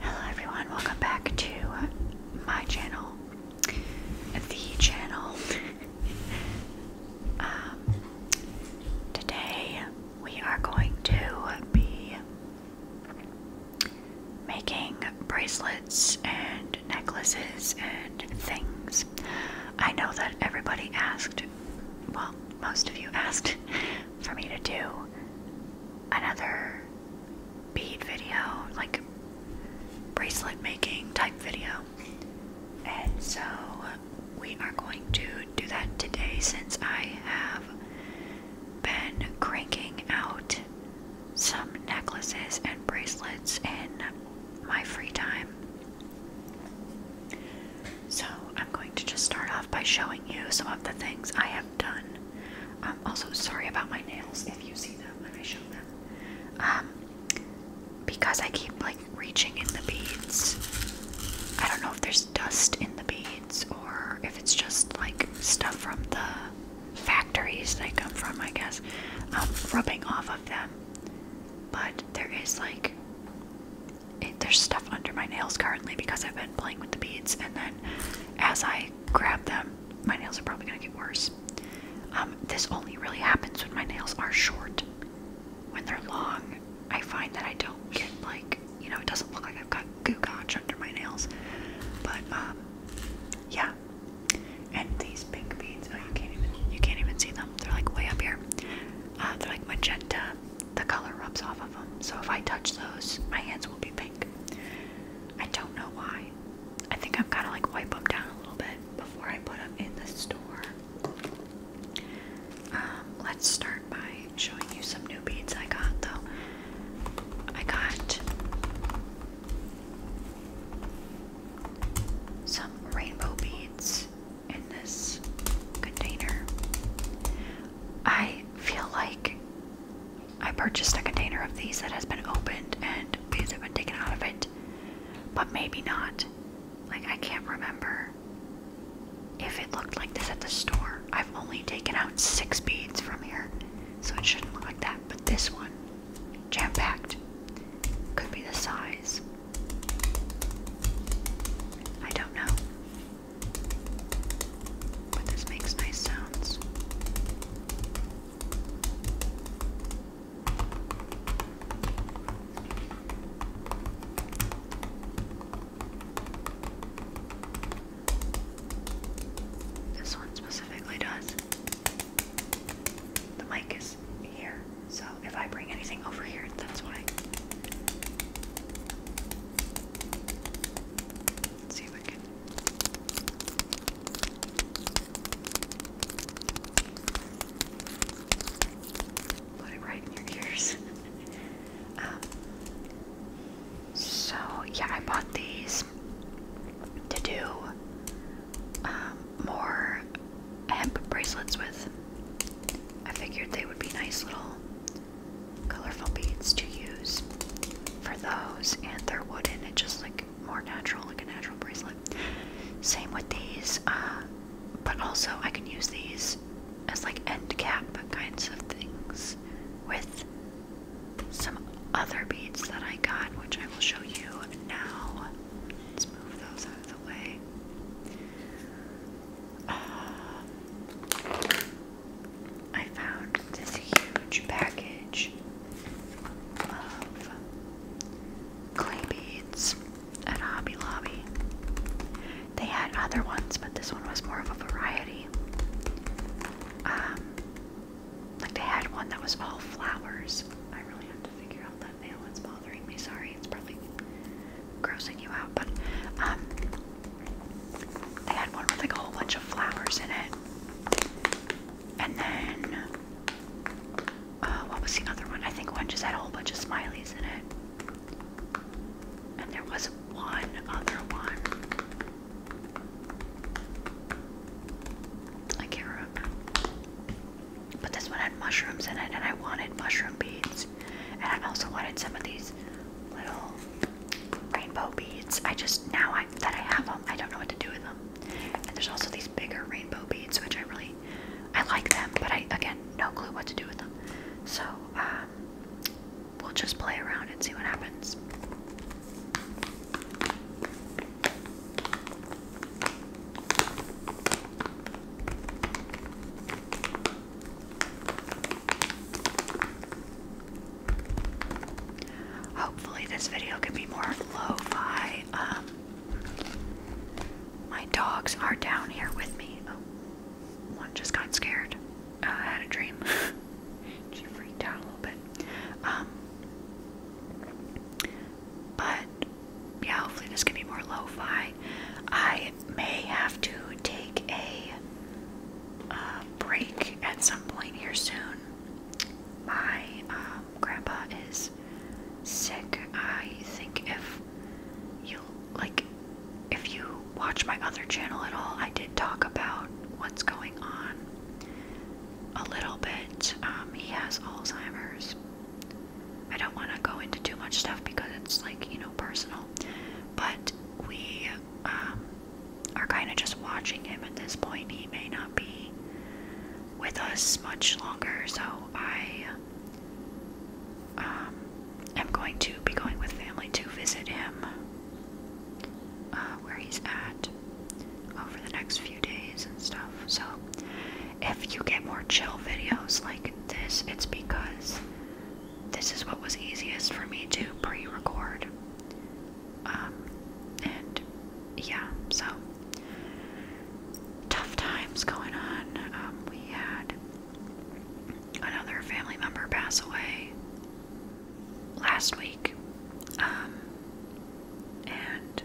Hello everyone, welcome back to my channel, the channel. Um, today we are going to be making bracelets and necklaces and things. I know that everybody asked, well, most of you asked for me to do another bead video, like bracelet making type video. And so we are going to do that today since I have been cranking out some necklaces and bracelets in my free time. So I'm going to just start off by showing you some of the things I have done. I'm um, also sorry about my nails if you see them when I show them. Um, because I keep like reaching in the beads. I don't know if there's dust in the beads or if it's just like stuff from the factories I come from, I guess, um, rubbing off of them. But there is like there's stuff under my nails currently because I've been playing with the beads, and then as I grab them, my nails are probably gonna get worse. Um, this only really happens when my nails are short. When they're long, I find that I don't get like you know it doesn't look like I've got goo gotch under my nails, but um, yeah. And these pink beads, oh you can't even you can't even see them. They're like way up here. Uh, they're like magenta the color rubs off of them. So if I touch those, my hands will be pink. I don't know why. I think I'm kind of like wipe them down a little bit before I put them in the store. Um, let's start by showing you some new beads I got though. I got some rainbow beads in this container. I feel like I purchased a container of these that has been opened and these have been taken out of it, but maybe not. Like, I can't remember if it looked like this at the store. I've only taken out six beads from here, so it shouldn't look like that. But this one, jam packed, could be the size. I don't know. But this makes nice sounds. This one specifically does. The mic is here, so if I bring anything over here, that's why. Put it right in your ears. Um, so yeah, I bought these to do um, more hemp bracelets with. I figured they would be nice little colorful beads to use for those, and they're wooden. It's just like more natural, like a natural bracelet. Same with these, uh, but also I can use these as like end cap kinds of things with some other beads that I got, which I will show you now. Let's move those out of the way. Uh, I found this huge package of clay beads at Hobby Lobby. They had other ones, but this one was more of a variety. Um, like they had one that was all flowers. I really have to figure out that nail. It's bothering me. Sorry, it's probably grossing you out, but um, they had one with like a whole bunch of flowers in it. And then, uh, what was the other one? I think one just had a whole bunch of smileys in it. And there was one other one. I can't remember. But this one had mushrooms in it, and I wanted mushroom beads. And I also wanted some of these little rainbow beads. I just, now I, that I have them, I don't know what to do with them. And there's also these bigger rainbow beads, which I really, I like them, but I, again, no clue what to do with them. So, um, we'll just play around and see what happens. Hopefully, this video can be more lo-fi. Um, my dogs are down here with me. Oh, one just got scared. Uh, I had a dream. she freaked out a little bit. Um, but yeah, hopefully this can be more lo-fi. I I may have to take a uh, break at some point here soon. My um, grandpa is sick. I think if you like, if you watch my other channel at all, I did talk about what's going on a little bit. Um, he has Alzheimer's. I don't want to go into too much stuff because it's like, you know, personal but we um, are kind of just watching him at this point. He may not be with us much longer, so I um, am going to be going with family to visit him uh, where he's at over the next few days and stuff. So if you get more chill videos like this, it's because this is what was easiest for me to pre record. Um, and yeah, so tough times going on. Um, we had another family member pass away last week. Um, and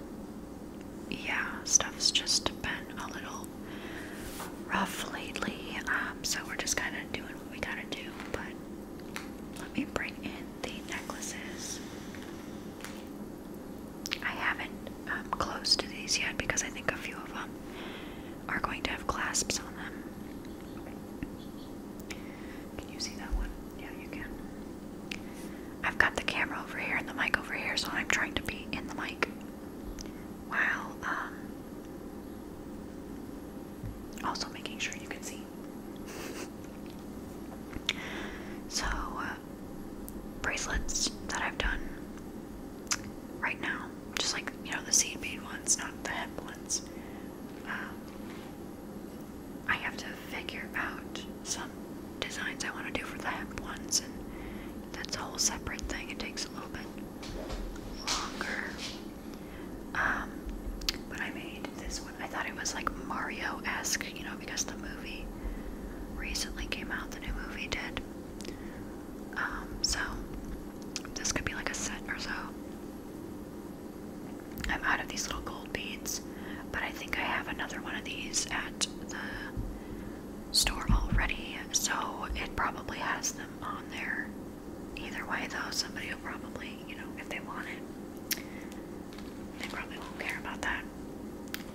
yeah, stuff's just been a little rough lately, um, so we're just kind of doing what we gotta do. But let me bring in the necklaces. I haven't um, to these yet because I think a few of them are going to have clasps on them. Can you see that one? Yeah, you can. I've got the camera over here and the mic over here, so I'm trying to be in the mic while um, also, making sure you can see. so, uh, bracelets that I've done right now, just like you know, the seed bead ones, not the hemp ones. Um, I have to figure out some designs I want to do for the hemp ones, and that's a whole separate thing. It takes a little bit. Um, but I made this one. I thought it was like Mario esque, you know, because the movie recently came out, the new movie did. Um, so this could be like a set or so. I'm out of these little gold beads, but I think I have another one of these at the store already, so it probably has them on there. Either way, though, somebody will probably, you know, if they want it, they probably won't care about that.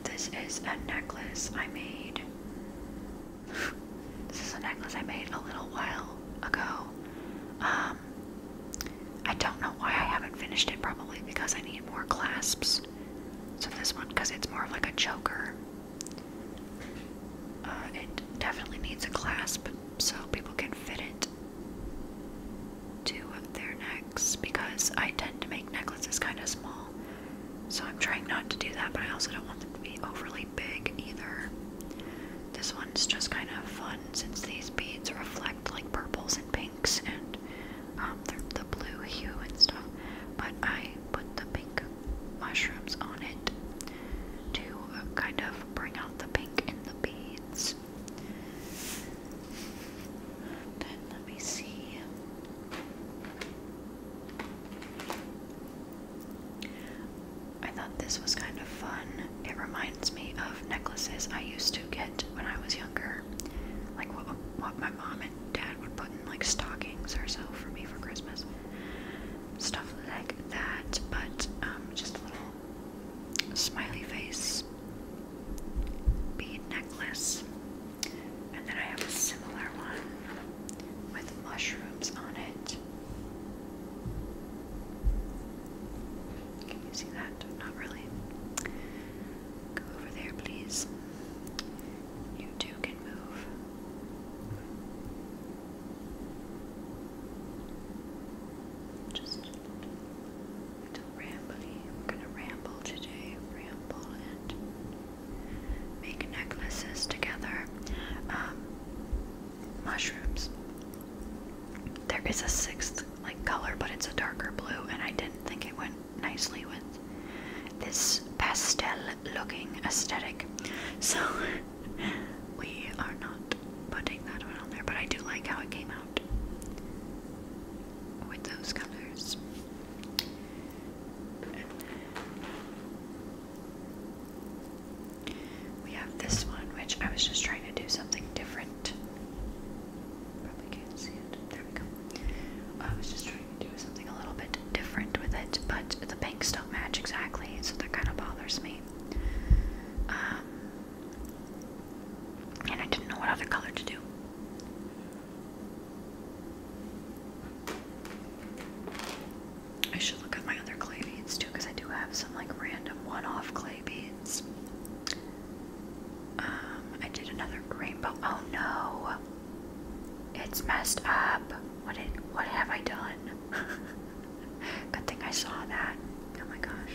This is a necklace I made. this is a necklace I made a little while ago. Um, I don't know why I haven't finished it, probably because I need more clasps. So this one, because it's more of like a choker. Uh, it definitely needs a clasp so people can fit it to their necks because I tend to make necklaces kind of small. So I'm trying not to do that, but I also don't want them to be overly big either. This one's just kind of fun since these beads reflect like purples and pinks and um, the blue hue and stuff. But I put the pink mushrooms on it to uh, kind of bring out the pink in the beads. Then let me see. I thought this was kind of fun. It reminds me of necklaces I used to get when I was younger, like what what my mom and dad would put in like stockings or so for me for Christmas stuff like that, but um, just a little smiley face bead necklace. And then I have a similar one with mushrooms on it. Can you see that? Not really. Go over there, please. You too can move. Just a little rambly. We're gonna ramble today, ramble and make necklaces together. Um, mushrooms. There is a sixth like color, but it's a darker blue, and I didn't think it went nicely with this pastel-looking aesthetic. So we are not putting that one on there, but I do like how it came out with those colors. We have this one, which I was just trying to do something different. Probably can't see it. There we go. I was just trying do something a little bit different with it, but the banks don't match exactly, so that kind of bothers me. Um, and I didn't know what other color to do. I should look at my other clay beads too, because I do have some like random one-off clay beads. Um, I did another rainbow. Oh no! It's messed up. What did what have I done? Good thing I saw that. Oh my gosh.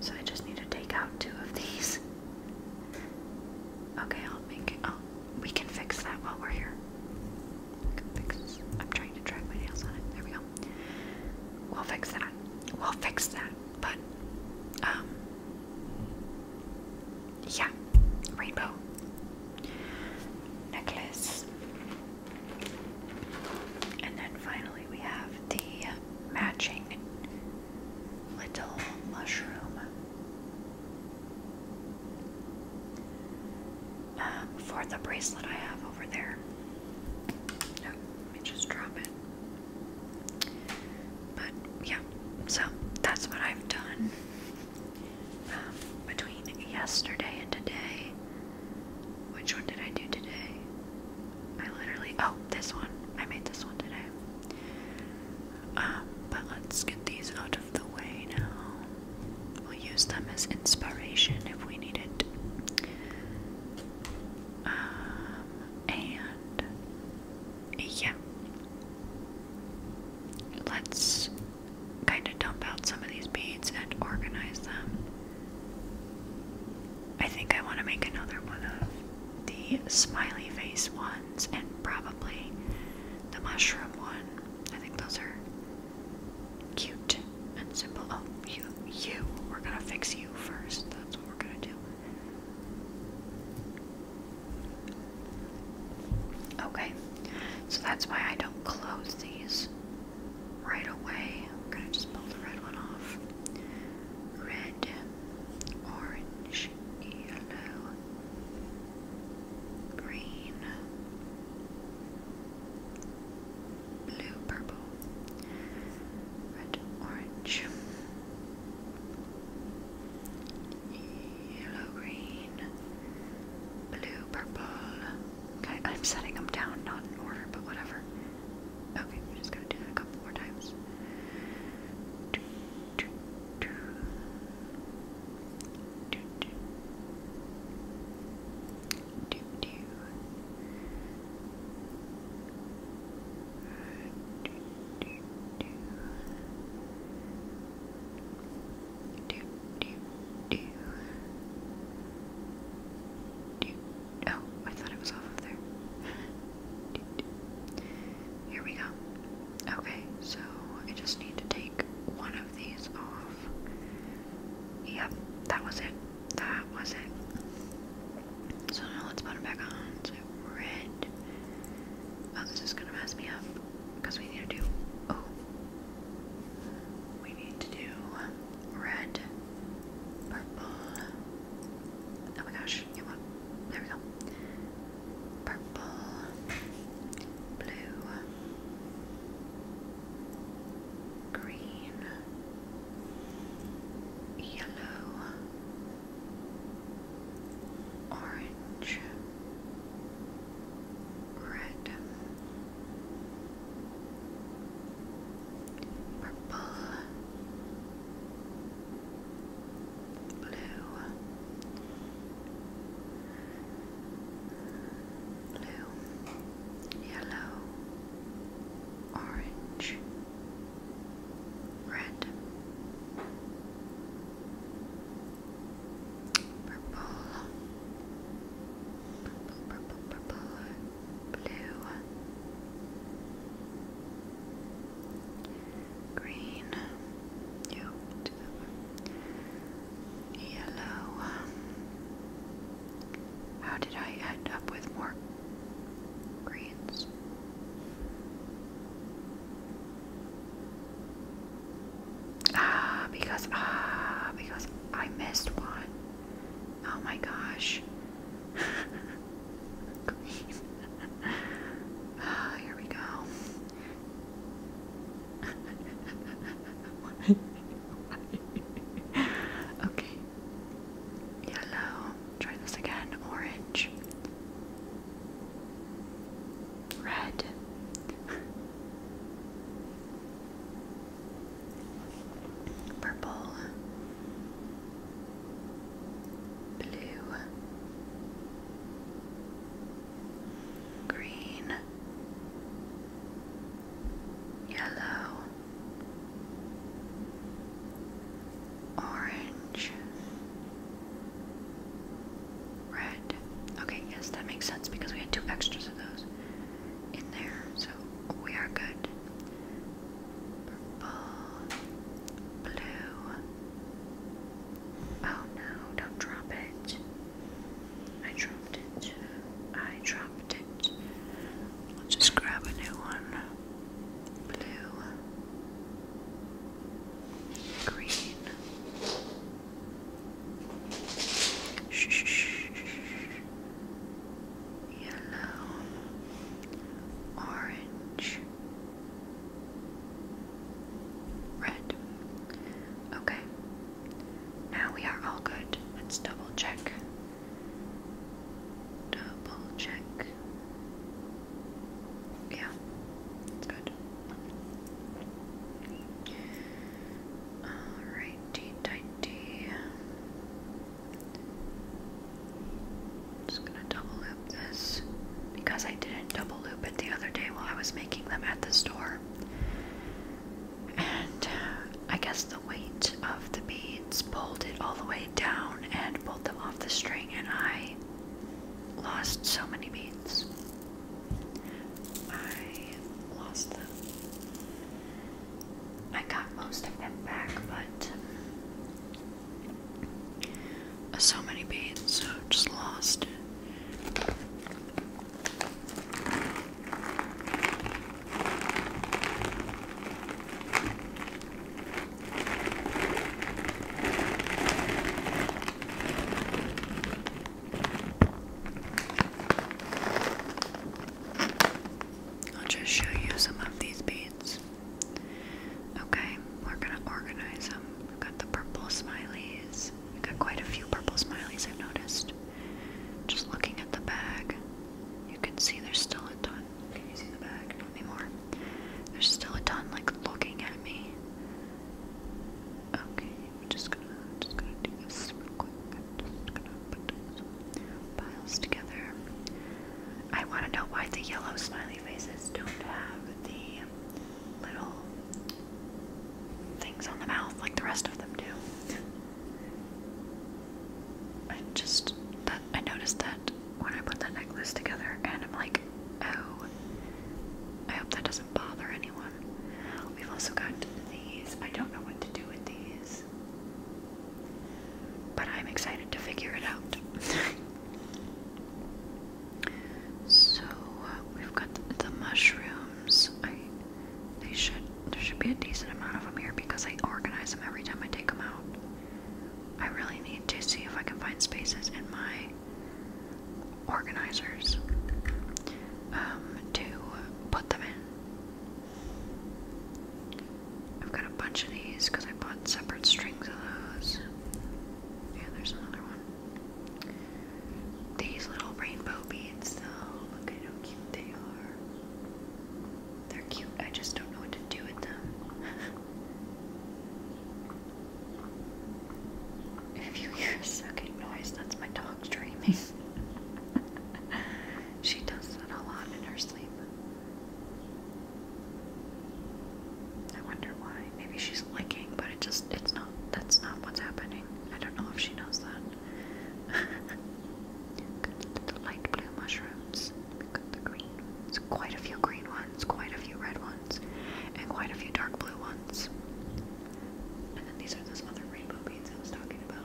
So I just need to take out two of these. Okay, I'll make it. Oh, we can fix that while we're here. We can fix. I'm trying to drag my nails on it. There we go. We'll fix that. We'll fix that. But um, yeah, rainbow necklace. And then finally, we have the matching little mushroom um, for the bracelet I have over there. No, let me just drop it. But yeah, so that's what I've done um, between yesterday and today. Which one did I do today? I literally, oh, this one. I made this one today. Um, but let's get these out of the way now. We'll use them as inspiration if we need it. Um, and yeah. Let's kind of dump out some of these beads and organize them. I think I want to make another one of the smiley face ones and probably the mushroom one. I think those are cute and simple. Oh, you, you. We're gonna fix you first. That's what we're gonna do. Okay, so that's why I don't close these right away. I'm gonna just pull the red one off. Red, orange, yellow, green, blue, purple, red, orange yellow, green, blue, purple. Okay, I'm setting them down, not in order, but whatever. Okay, we just gonna do a couple more times. do, do. Do, do. Do, do. Do, do do, do, do, do. Oh, I thought it was off of there. Here we go. Okay, so I just need to take one of these off. Yep, that was it. That was it. So now let's put it back on. red. Oh, this is gonna mess me up because we need to do. Oh, we need to do red, purple. Oh my gosh, you want? There we go. Purple, blue, green, yellow orange, red, purple, blue, blue, yellow, orange, red, Purple. Purple, purple, purple. Blue. Green. Yellow. How did I end up with more greens? Ah, because, ah, because I missed one. Oh my gosh. ah, here we go. okay. Yellow. Try this again. Orange. Red. Purple. Blue. Green. Yellow orange, red. Okay, yes, that makes sense because we had two extras of those in there, so we are good. Purple, blue. Oh no, don't drop it. I dropped it. I dropped it. Let's just grab a new one blue, green. Yellow, orange, red. Okay, now we are all good. Let's double check. Double check. Yeah, it's good. Alrighty, tighty. Just gonna double loop this because I didn't double loop it the other day while I was making them at the store. And uh, I guess the weight of the beads pulled it all the way down and pulled them off the string, and I lost so many beads. I lost them. I got most of them back, but so many beads, so just lost. I'll just show you some of these beads. Okay, we're gonna organize them. We've got the purple smileys. We've got quite a few purple smileys, I've noticed. Just looking at the bag, you can see there's still a ton. Can you see the back? anymore. There's still a ton like looking at me. Okay, we're just gonna just gonna do this real quick. Just gonna put piles together. I wanna know why the yellow smiley faces don't have the little things on the mouth like the rest of them do. I just that I noticed that when I put that necklace together, and I'm like, oh, I hope that doesn't bother anyone. We've also got these. I don't know what to do with these, but I'm excited to figure it out. so uh, we've got the mushrooms. I they should there should be a decent amount of them here because I organize them every time I take them out. I really need to see if I can find spaces in my organizers um, to put them in. I've got a bunch of these because I bought separate strings of those. Yeah, there's another one. These little rainbow beads, though, look how cute they are. They're cute, I just don't know what to do with them. If you hear a sucking noise, that's my dog dreaming. she does that a lot in her sleep. I wonder why. Maybe she's licking, but it just, it's not, that's not what's happening. I don't know if she knows that. Good light blue mushrooms. It's Quite a few green ones, quite a few red ones, and quite a few dark blue ones. And then these are those other rainbow beads I was talking about.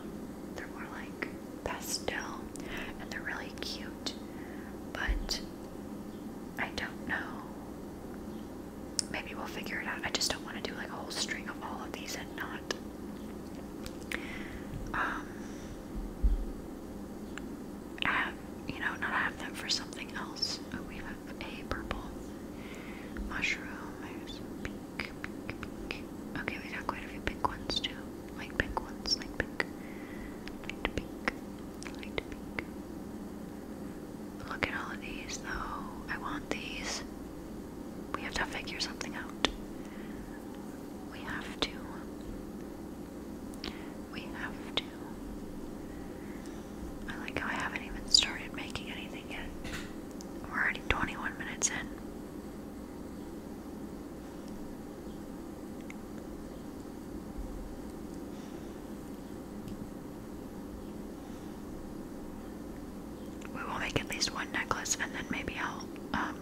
They're more like pastel, and they're really cute, but I don't know. Maybe we'll figure it out. I just don't want to do like a whole string of all of these and not. Um, have, you know, not have them for something else. Oh, we have a purple mushroom. pink, pink, Okay, we got quite a few pink ones too. Like pink ones, like pink, light pink, pink. Look at all of these though. I want these. We have to figure something out. We have to we have to. I like how I haven't even started making anything yet. We're already 21 minutes in. We will make at least one necklace and then maybe I'll um,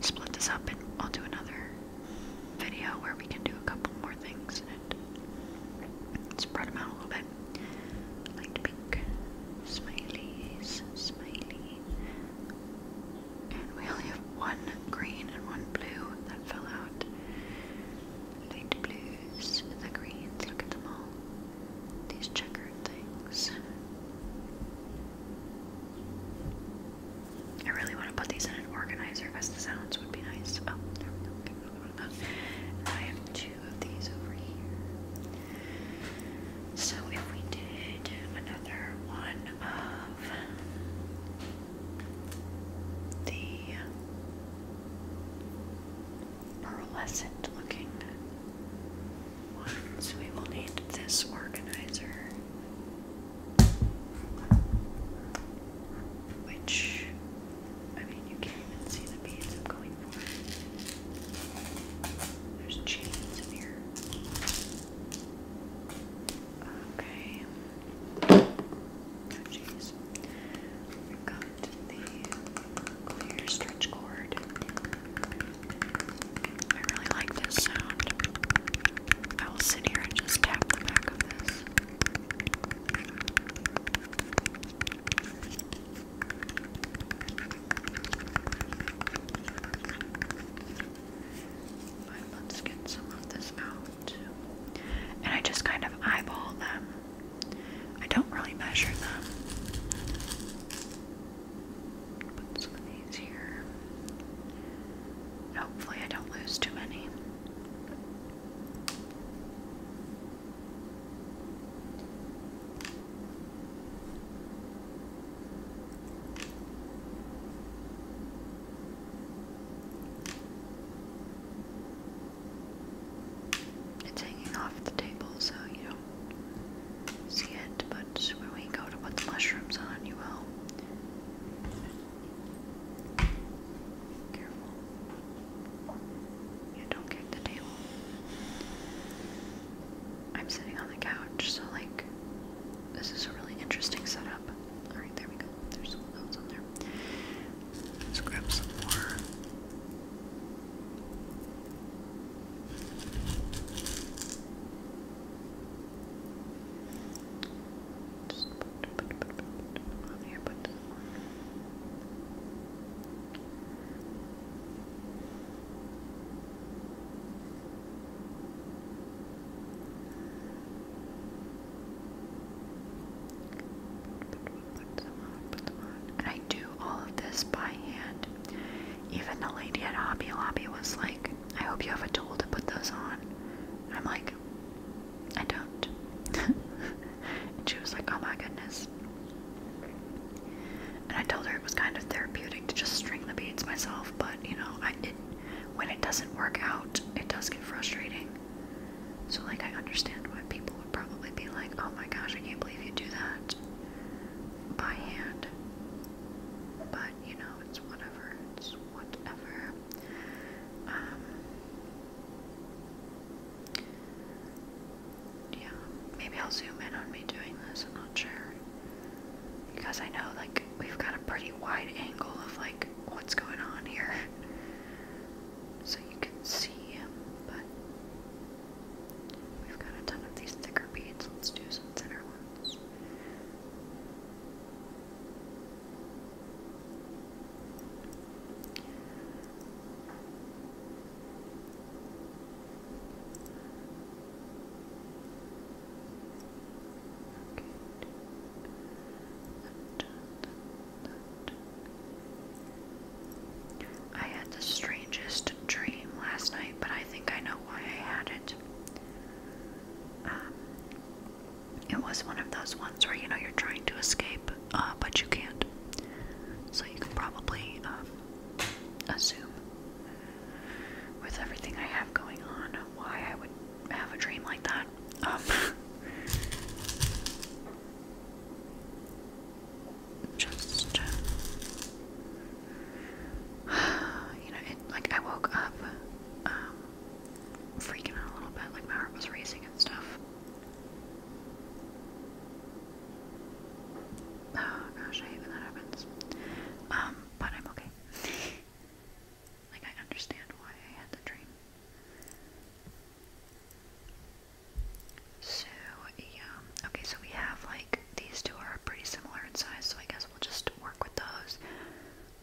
split this up and I'll do another video where we can do a couple more things and spread them out a little bit. I like to pick And we only have one green and one blue that fell out. Light blues, the greens, look at them all. These checkered things. I really want to put these in an organizer because the sounds would be nice. Oh, I have two of these over here. So if we did another one of the pearlescent looking ones, we will need this organizer. Which, I mean, you can't even see the beads I'm going for. There's chains in here. Okay. Oh, jeez. we got the clear stretch cord. I really like this sound. I will sit here and just tap the back of this. let's get some of this out. And I just kind of eyeball them. I don't really measure them. Put some of these here. Hopefully, I don't lose too many. It's hanging off the table, so you don't see it, but when we go to put mushrooms on, you will. Careful. You don't kick the table. I'm sitting on the couch, so like this is a really interesting setup. Alright, there we go. There's some of on there. Let's grab some more. And I do all of this by hand. Even the lady at Hobby Lobby was like, I hope you have a tool to put those on. I'm like, I don't. and she was like, oh my goodness. And I told her it was kind of therapeutic to just string the beads myself, but you know, I when it doesn't work out, it does get frustrating. So like, I understand why people would probably be like, oh my gosh, I can't believe you do that by hand. But you know, it's whatever. It's whatever. Um, yeah, maybe I'll zoom in on me doing this. I'm not sure because I know like we've got a pretty wide angle of like what's going on here, so you can see. him. But we've got a ton of these thicker beads. Let's do some thinner ones. I had the strangest dream last night, but I think I know why I had it. Um, it was one of those ones where you know you're trying to escape, uh, but you can't. So you can probably um, assume, with everything I have going on, why I would have a dream like that. Um, just uh, you know, like I woke up um, freaking out a little bit, like my heart was racing and stuff. Oh gosh, I hate when that happens. Um, but I'm okay. like I understand why I had the dream. So yeah, okay. So we have like these two are pretty similar in size, so I guess. I will just work with those.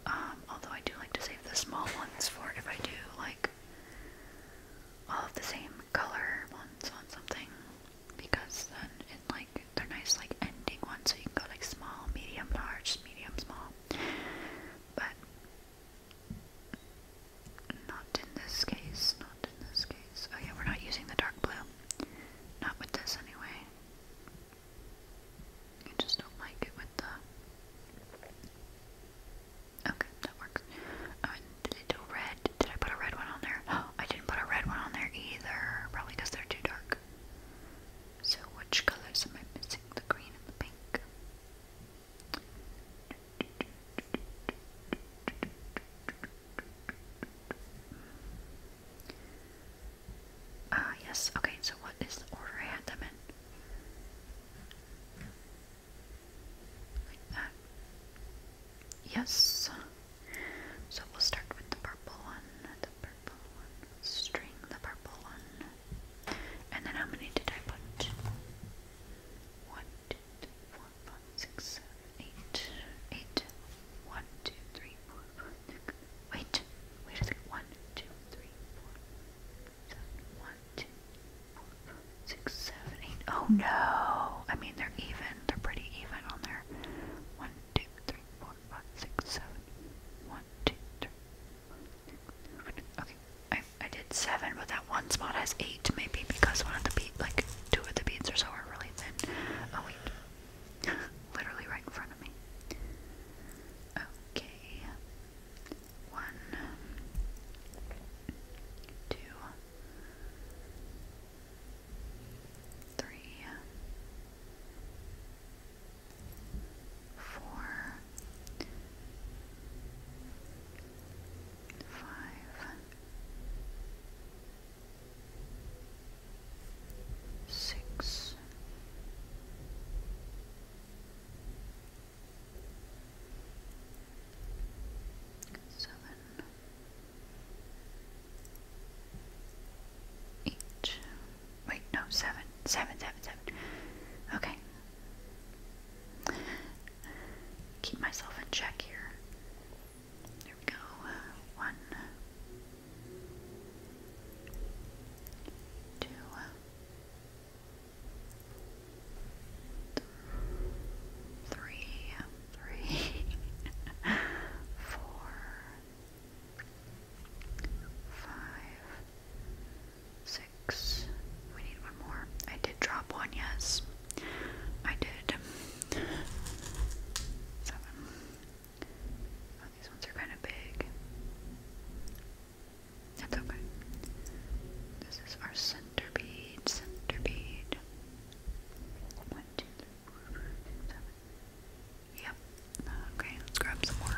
Um, although I do like to save the small ones for if I do like all of the same color ones on something because then it like they're nice like ending ones so you can go like small, medium, large, medium, small. But not in this case, not in this case. Oh we're not using the dark blue. Not with this anyway. You just don't like it with the... Okay, that works. Um, did red? Did I put a red one on there? I didn't put a red one on there either. Probably because they're too dark. So which colors am I missing? The green and the pink. Ah, yes. Okay, so what is the order I had them in? Like that. Yes. So we'll start with the purple one, the purple one, string the purple one. And then how many did I put? One, two, three, four, one, two, three, four, five, six. Wait, wait a second. One, two, three, four, seven. One, two, Oh no! I mean, they're even. They're pretty even on there. One, two, three, okay, I I did seven, but that one spot has eight. Maybe because one of the beat, like two of the beats or so, really thin. Oh wait. Literally right in front of me. Okay. One, two, three, four, five six seven eight wait no seven seven seven seven okay keep myself in check here there we go. Uh, one, two, uh, three, three, four, five, six. We need one more. I did drop one, yes. I did. Seven. Oh, these ones are kind of big. That's okay. This is our center bead, center bead. One, two, three, four, five, seven. Yep. Okay, let's grab some more.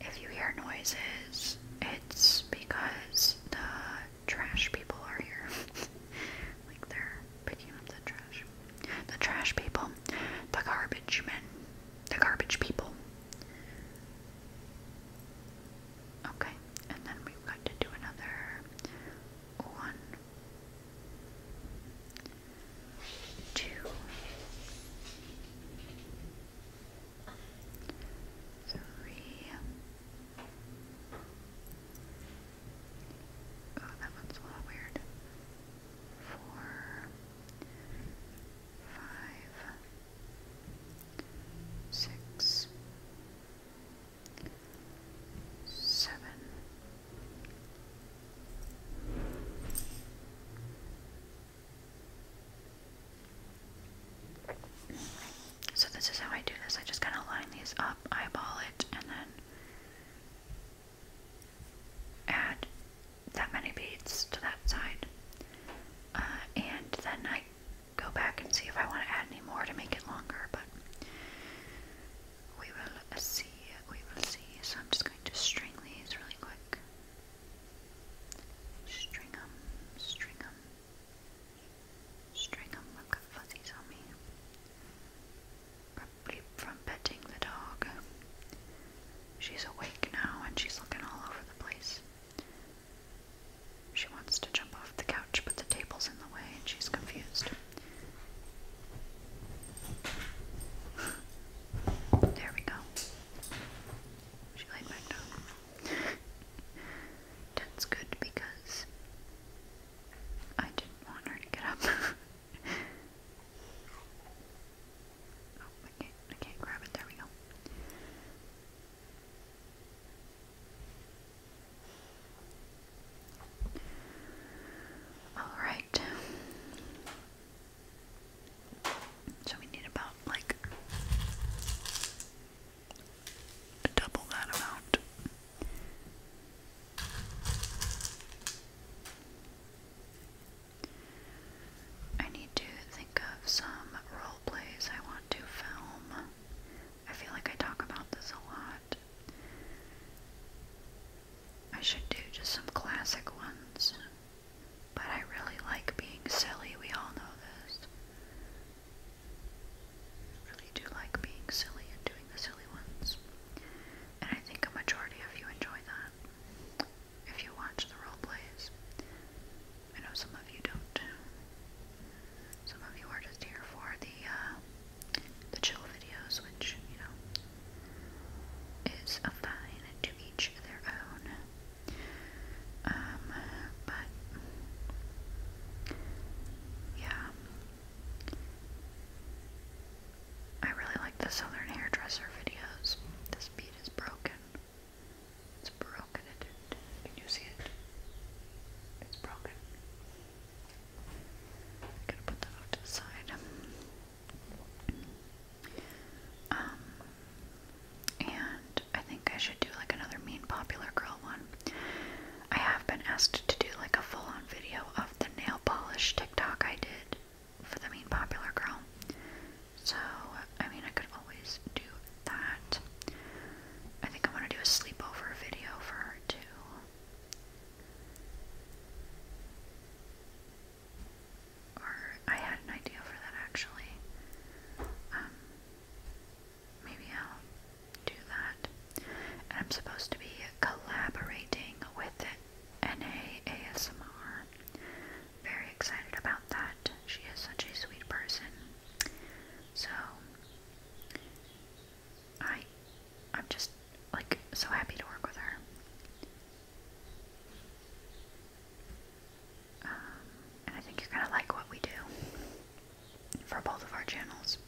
if you hear noises, it's because the trash people are here. like they're picking up the trash. The trash people. The garbage men. The garbage people. Okay, and then we've got to do another one, two, Three. Oh, that one's a little weird. Four. Five. Six. Seven. So this is how I do this. I just kind of line these up, eyeball it, and then add that many beads to that side. Uh, and then I go back and see if I want to add any more to make it longer, but we will see. We will see. So I'm just going to string these really quick. String 'em, string 'em. String 'em, I've got fuzzies on me. Probably from petting the dog. She's awake now and she's looking all over the place. She wants to jump off the couch, but the table's in the way and she's confused. There we go. She laid back down. That's good because I didn't want her to get up. oh, I grab it. There we go. All right. So we need about like double that amount. I need to think of some role plays I want to film. I feel like I talk about this a lot. I should do just some classic ones. But I really like being silly, we all know this. I really do like being silly and doing the silly ones. And I think a majority of you enjoy that. If you watch the role plays. I know some of you don't. Some of you are just here for the uh the chill videos, which, you know, is fine to um, yeah, I really like the Southern hairdresser videos. This bead is broken. It's broken. Can you see it? It's broken. gonna put that off to the side. Um, and I think I should do like another mean popular girl one. I have been asked to do like a full on video of the nail polish TikTok I did for the mean popular girl. So, I mean, I could always do that. I think I want to do a sleepover video for her too or I had an idea for that actually. Um, maybe I'll do that. And I'm supposed to be collaborating with NA ASMR. Very excited about that. She is such a sweet person. So I I'm just like so happy to work with her. Um, and I think you're going to like what we do for both of our channels.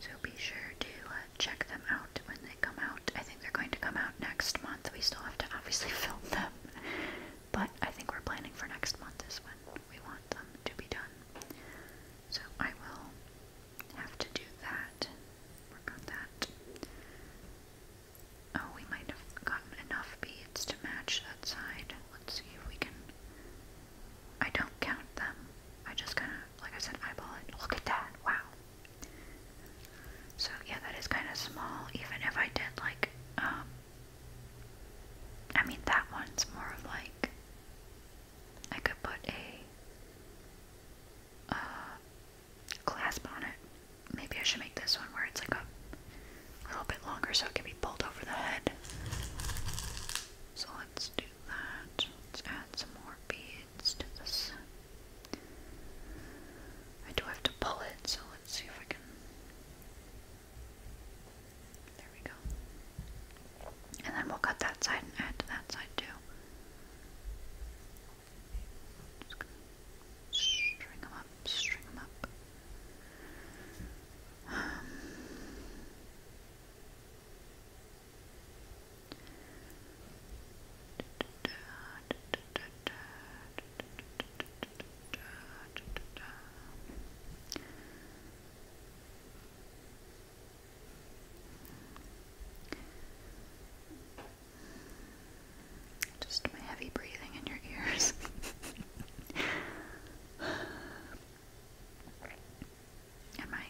So be sure to uh, check them out when they come out. I think they're going to come out next month. We still have to obviously film them, but I think we're planning for next month is when we want them to be done. So I will have to do that, work on that. Oh, we might have gotten enough beads to match that side. Let's see if we can. I don't count them. I just kind of, like I said, eyeball it. Look at that. Wow. So, yeah, that is kind of small, even if I did, like, um, I mean, that one's more of like, I could put a, uh, clasp on it. Maybe I should make this one where it's like a little bit longer so it can be pulled over the head. So let's do that. Let's add some more beads to this. I do have to pull it, so let's see if I can. There we go. And then we'll cut that side and add to that side too string them up, string them up. Um, just my heavy breathing in your ears. and my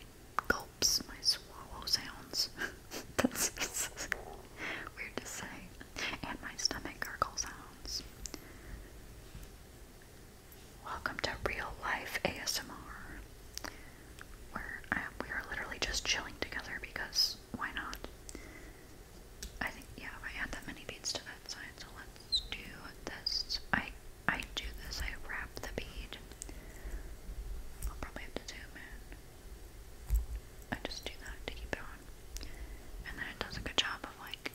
gulps, my swallow sounds. That's weird to say. And my stomach gurgle sounds. Welcome to Real Life ASMR, where we are literally just chilling together because why not? I think, yeah, if I add that many beads to that side, so let's do this. I, I do this, I wrap the bead. I'll probably have to zoom in. I just do that to keep it on. And then it does a good job of like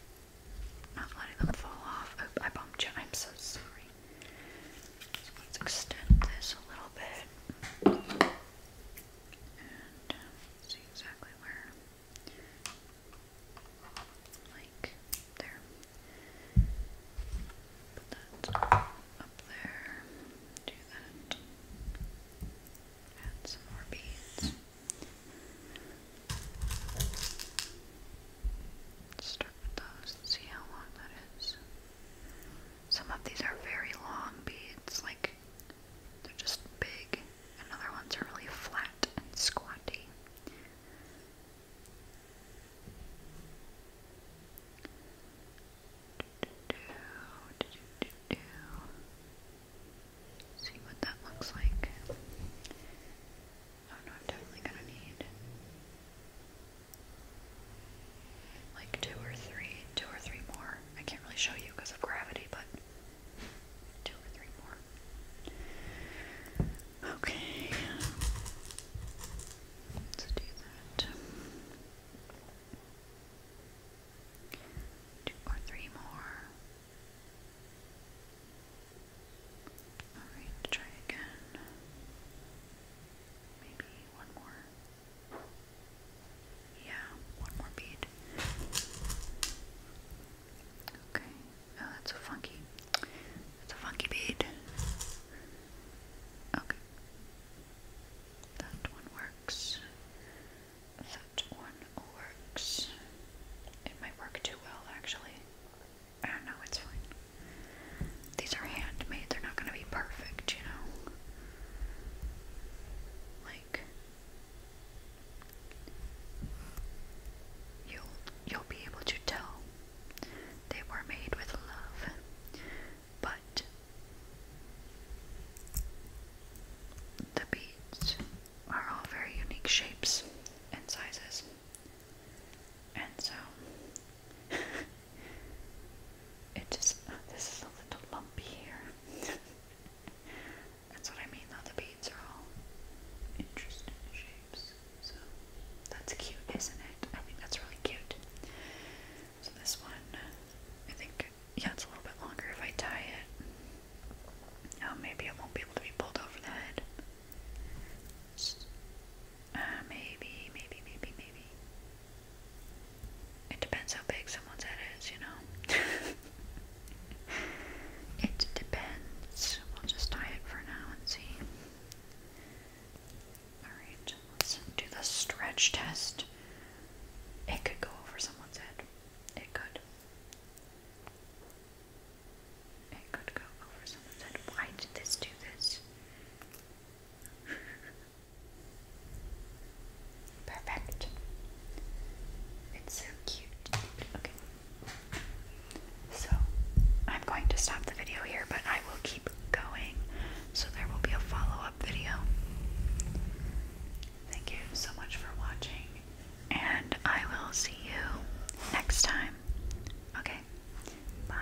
not letting them fall off. Oh, I bumped you. I'm so sorry. let's extend this a little bit and um, see exactly where, like there. Put that up there. Do that. Add some more beads. Start with those and see how long that is. Some of these are very long beads, like they're just big, and other ones are really flat and squatty. See what that looks like. Oh no, I'm definitely gonna need like two or three, two or three more. I can't really show you because of gravity, but two or three more. Okay. Let's do that. Two or three more. Alright, try again. Maybe one more. Yeah, one more bead. Okay. Oh, that's a funky. That's a funky bead. Okay. That one works. That one works. It might work too well, actually. I don't know, it's fine these are handmade, they're not gonna be perfect, you know? Like you'll you'll be able to tell they were made with love. But the beads are all very unique shapes and sizes. And so it just, uh, this is a little lumpy here. that's what I mean though, the beads are all interesting shapes. So, that's cute, isn't it? I think that's really cute. So this one, I think, yeah, it's a little bit longer if I tie it. Oh, maybe it won't be able to be pulled over the head. Uh, maybe, maybe, maybe, maybe. It depends how big someone's head is, you know? it depends. We'll just tie it for now and see. Alright, let's do the stretch test. It could go over someone's head. It could. It could go over someone's head. Why did this do this? Perfect. It's so cute. So, I'm going to stop the video here, but I will keep going. So, there will be a follow up video. Thank you so much for watching, and I will see you next time. Okay, bye.